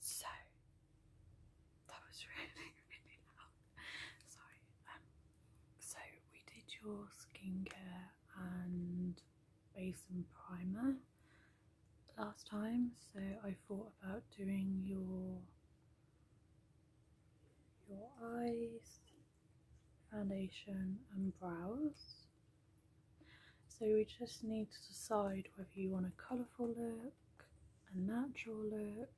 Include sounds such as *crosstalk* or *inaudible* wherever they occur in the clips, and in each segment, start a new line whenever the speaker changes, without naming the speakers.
So that was *laughs* really really loud. Sorry. Um, so we did your skincare and base and primer last time. So I thought about doing your your eyes, foundation, and brows. So we just need to decide whether you want a colourful look, a natural look,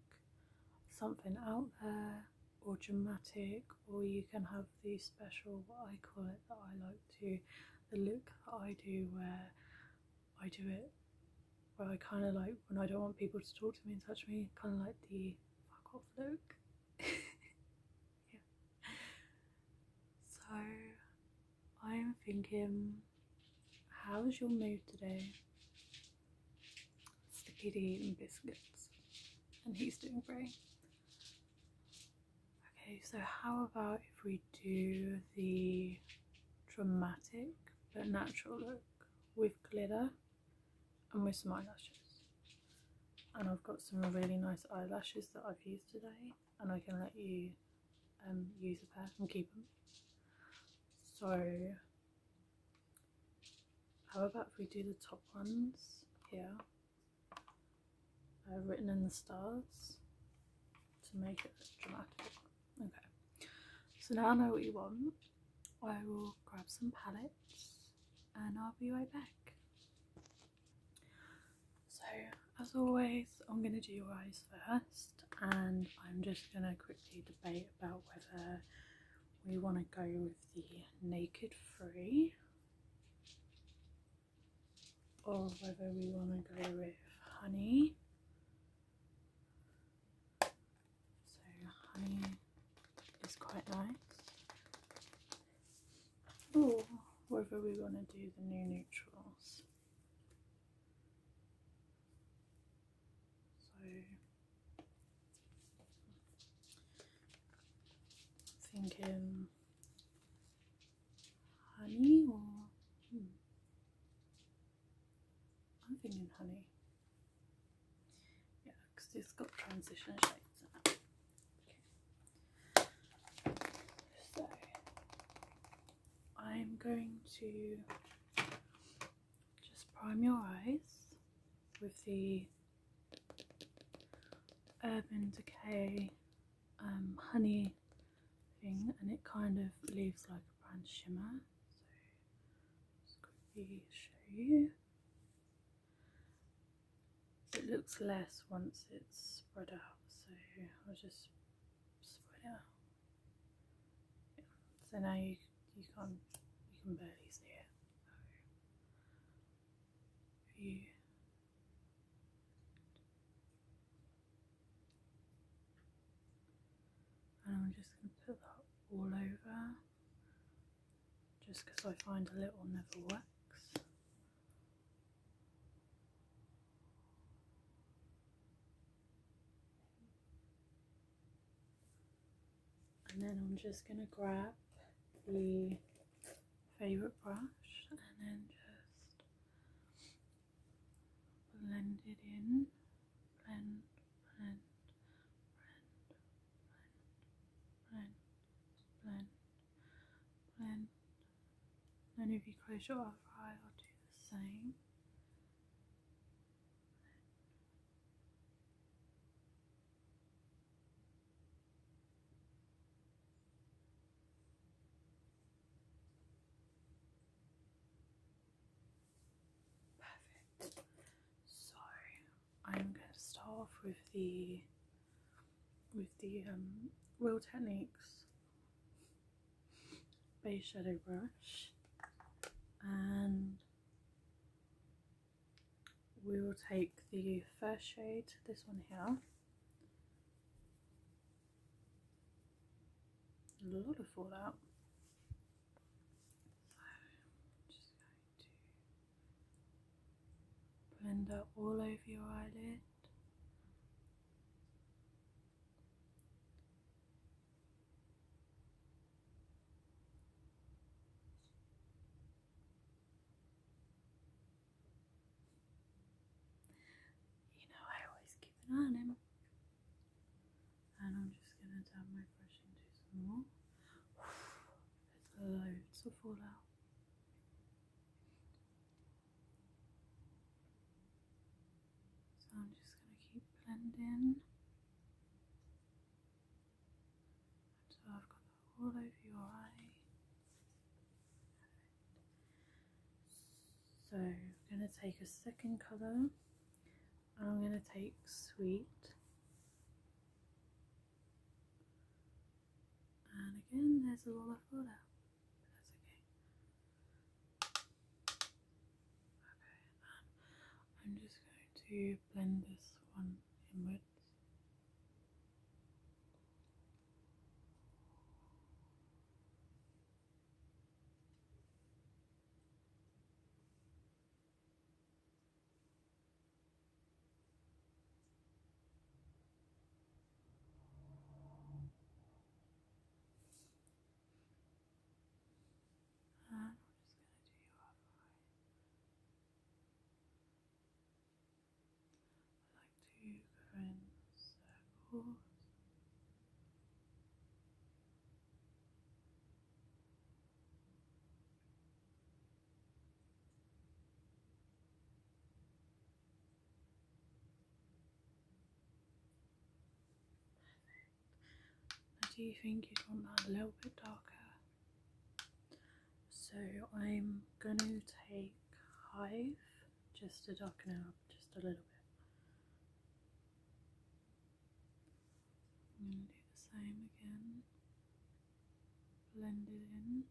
something out there, or dramatic, or you can have the special, what I call it, that I like to, the look that I do where I do it, where I kind of like, when I don't want people to talk to me and touch me, kind of like the fuck off look. *laughs* yeah. So I'm thinking, how's your mood today? It's the eating biscuits, and he's doing great. Okay, so how about if we do the dramatic but natural look with glitter and with some eyelashes? And I've got some really nice eyelashes that I've used today and I can let you um, use the pair and keep them. So how about if we do the top ones here, uh, written in the stars to make it dramatic. Okay, so now I know what you want. I will grab some palettes and I'll be right back. So, as always, I'm going to do your eyes first, and I'm just going to quickly debate about whether we want to go with the naked free or whether we want to go with honey. So, honey is quite nice. Or whether we want to do the new neutrals. So I'm thinking honey or hmm. I'm thinking honey. Yeah, because it's got transition shades I'm going to just prime your eyes with the Urban Decay um, honey thing and it kind of leaves like a bronze shimmer. So just quickly show you. It looks less once it's spread out so I'll just so now you you can't you can barely see it. and I'm just gonna put that all over just because I find a little never works. And then I'm just going to grab the favourite brush and then just blend it in. Blend, blend, blend, blend, blend, blend, blend, and if you close your other eye, I'll do the same. Perfect. So I'm going to start off with the with the wheel um, techniques base shadow brush and we will take the first shade, this one here. A lot of fallout. So just going to blend up all over your eyelid. You know, I always keep it on him. And I'm just gonna dab my brush into some more. *sighs* There's loads of fallout. So I'm just going to keep blending until I've got that all over your eye. So I'm going to take a second colour. I'm going to take Sweet. And again, there's a little left order. That's okay. Okay, um, I'm just going to blend this one inwards. And we just going to do your other I like to go in circles. Perfect. do you think you want that a little bit darker? So I'm going to take Hive just to darken it up just a little bit. I'm going to do the same again. Blend it in.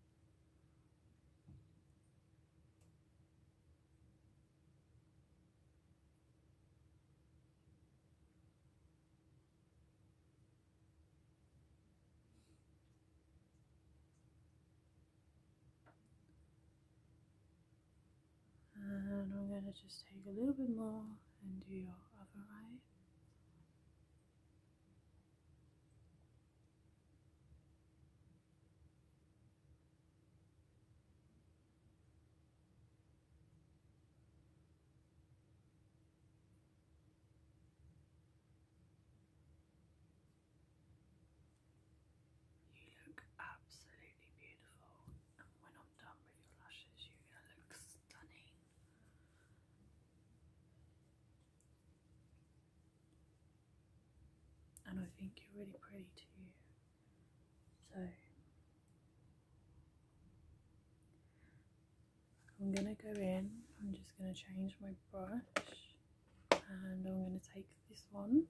And I'm going to just take a little bit more and do your other eye. You look absolutely beautiful, and when I'm done with your lashes, you're going to look stunning. And I think you're really pretty too. So I'm going to go in, I'm just going to change my brush and I'm going to take this one.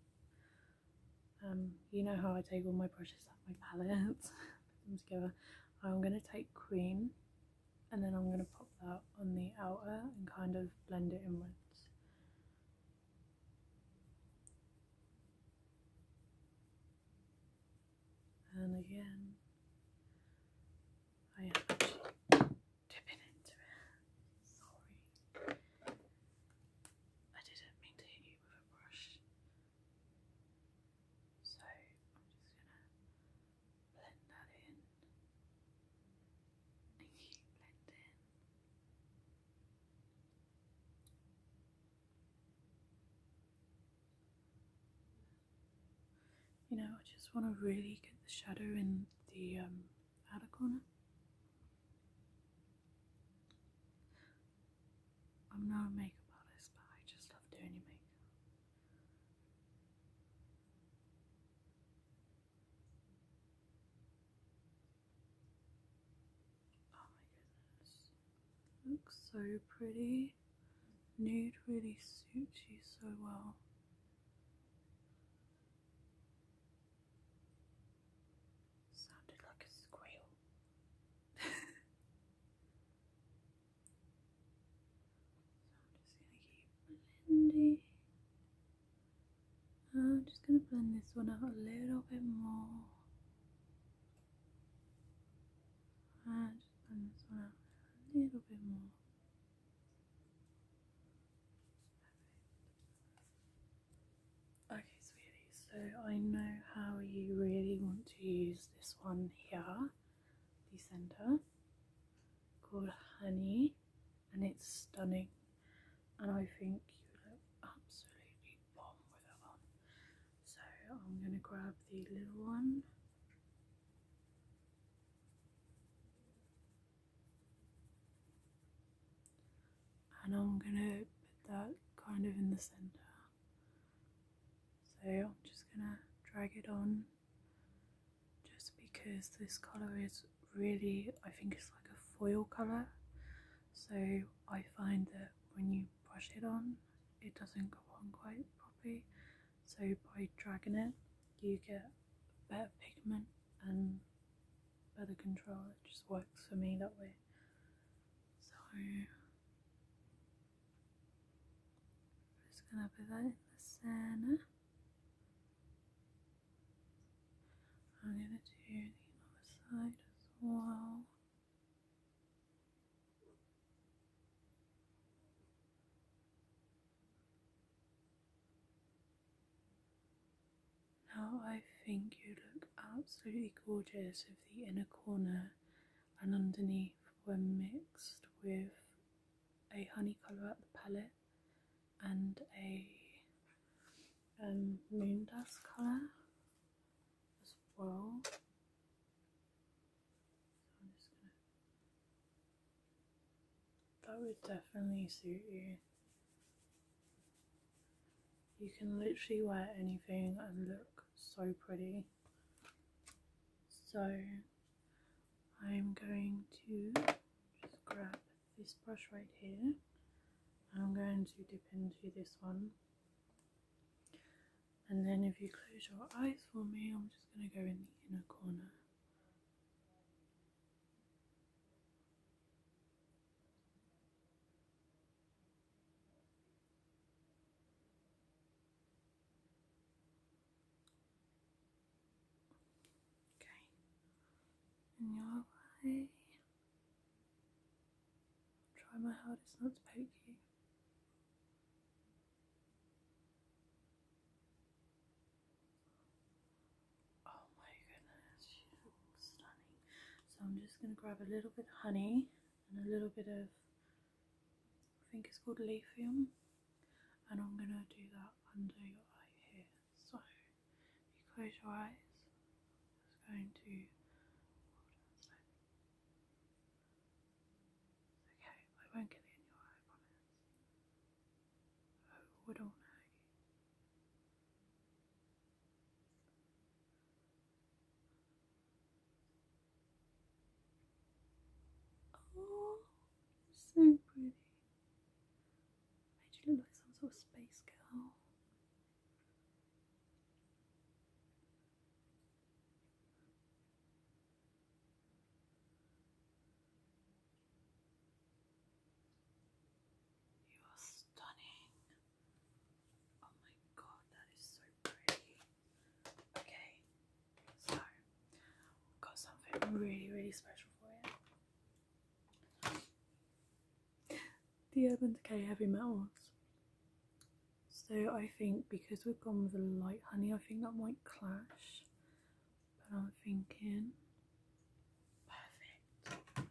Um, you know how I take all my brushes off my palette, *laughs* put them together. I'm going to take Queen and then I'm going to pop that on the outer and kind of blend it inwards. And again, I am dipping into it. Sorry. I didn't mean to hit you with a brush. So I'm just going to blend that in keep blending. You know, I just want to really get the shadow in the um, outer corner. I'm not a makeup artist, but I just love doing makeup. Oh my goodness. Looks so pretty. Nude really suits you so well. Sounded like a squeal. *laughs* So I'm just going to keep blending. I'm just going to blend this one out a little bit more. And ah, just blend this one out a little bit more. Okay, sweetie, so I know how you really want to use this one here, the centre, called Honey and it's stunning. And I think you look absolutely bomb with it on. So I'm going to grab the little one. And I'm going to put that kind of in the centre. So I'm just going to drag it on just because this colour is really, I think it's like a foil colour, so I find that when you brush it on, it doesn't go on quite properly. So by dragging it, you get better pigment and better control. It just works for me that way. So I'm just gonna put that in the center. I'm going to do the other side as well. Now I think you look absolutely gorgeous with the inner corner and underneath when mixed with a honey colour at the palette and a um, moon dust colour as well. That would definitely suit you. You can literally wear anything and look so pretty. So I'm going to just grab this brush right here I'm going to dip into this one and then if you close your eyes for me I'm just going to go in the inner corner Okay. And your eye. try my hardest not to poke you. Oh my goodness, stunning. So I'm just going to grab a little bit of honey and a little bit of I think it's called Lithium and I'm going to do that under your eye here. So you close your eyes, it's going to Okay, I won't get it in your eye, promise. I wouldn't hurt Oh, so pretty. Made you look like some sort of space girl. You are stunning. Oh my god, that is so pretty. Okay, so, got something really, really special for you. The Urban Decay Heavy Metals. So I think because we've gone with a light honey, I think that might clash. But I'm thinking perfect.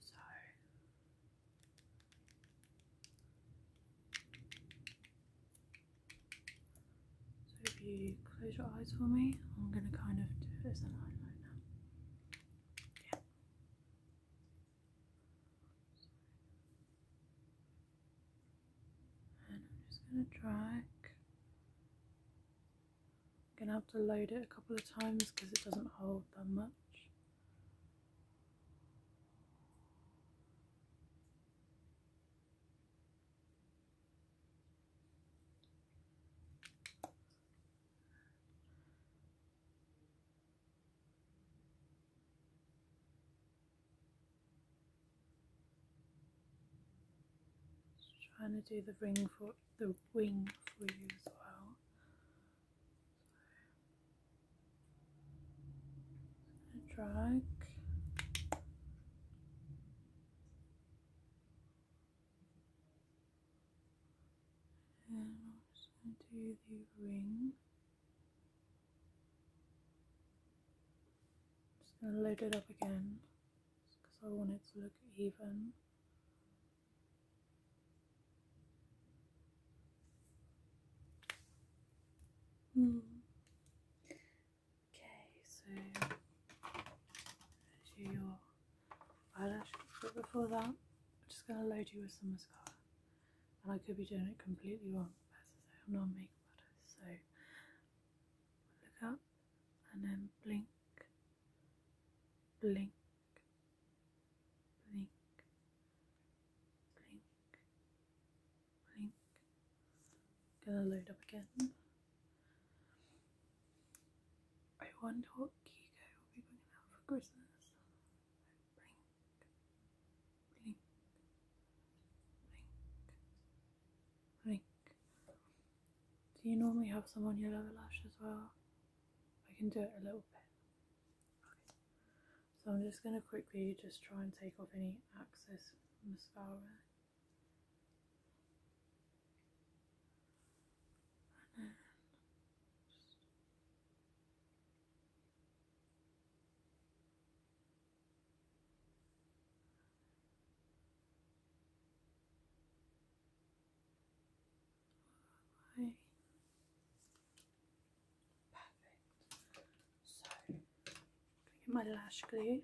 So so if you close your eyes for me, I'm going to kind of do it as an highlight Yeah. And I'm just going to drag. I'm going to have to load it a couple of times because it doesn't hold that much. Just trying to do the ring for the wing for you as well a drag and also do the ring just going to load it up again because I want it to look even Mm. Okay, so do your eyelash before that, I'm just going to load you with some mascara. And I could be doing it completely wrong. As I say, I'm not makeup artist, so look up and then blink, blink, blink, blink, blank. Gonna load up again. I wonder what Kiko will be going out for Christmas. Blink, blink, blink, Do you normally have some on your lower lash as well? I can do it a little bit. So I'm just going to quickly just try and take off any excess mascara and then Perfect. So I'm get my lash glue.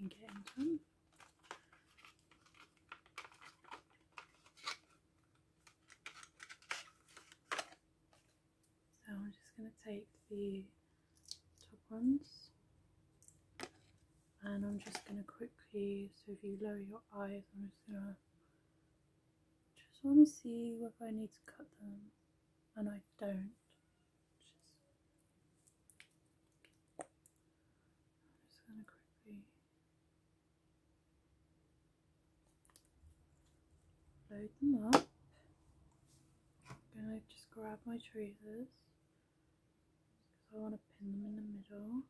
And get into them. So I'm just going to take the top ones and I'm just going to quickly, so if you lower your eyes, I'm just going to want to see whether I need to cut them and I don't. just going to quickly load them up. I'm going to just grab my tweezers because I want to pin them in the middle.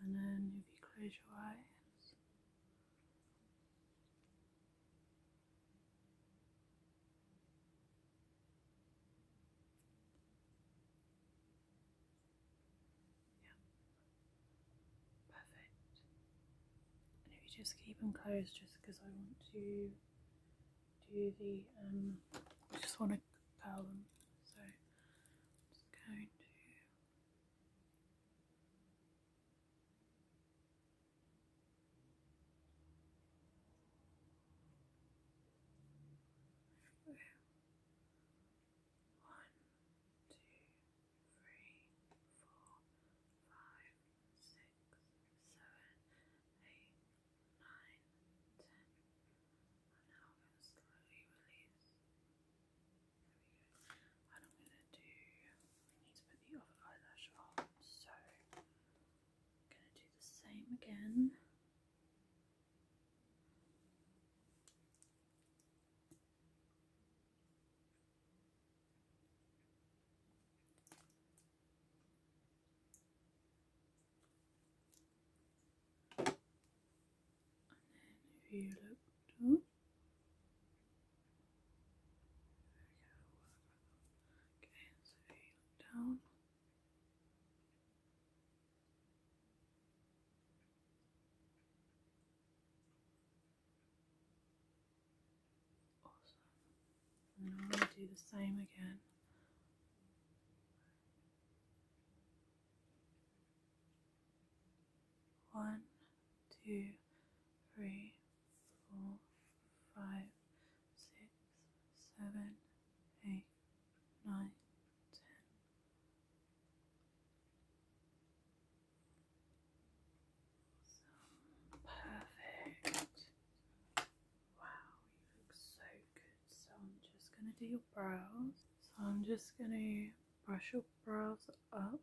And then if you close your eyes, Perfect. And if you just keep them closed, just because I want to do the, um, I just want to curl them. So just going to. One, three, four, five, six, seven, eight, nine, ten. And now I'm going to slowly release. And I'm going to do, we need to put the other eyelash on, so I'm going to do the same again. And then if you look okay, so you down. Awesome. And then I'm going to do the same again. One, two, three, four, five, six, seven, eight, nine, ten perfect. Wow, you look so good. So I'm just gonna do your brows. So I'm just gonna brush your brows up,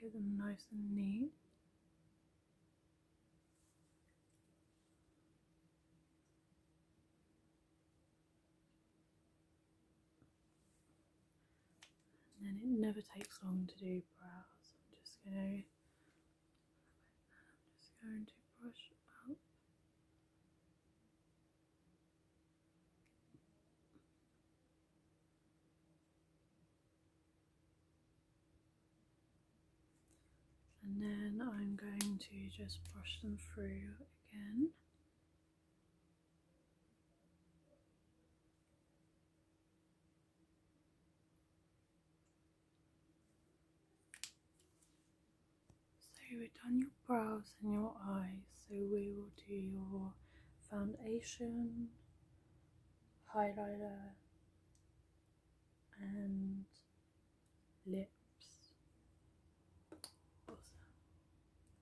get them nice and neat. And then it never takes long to do brows. I'm just going to, just going to brush up. And then I'm going to just brush them through again. So we've done your brows and your eyes, so we will do your foundation, highlighter and lips.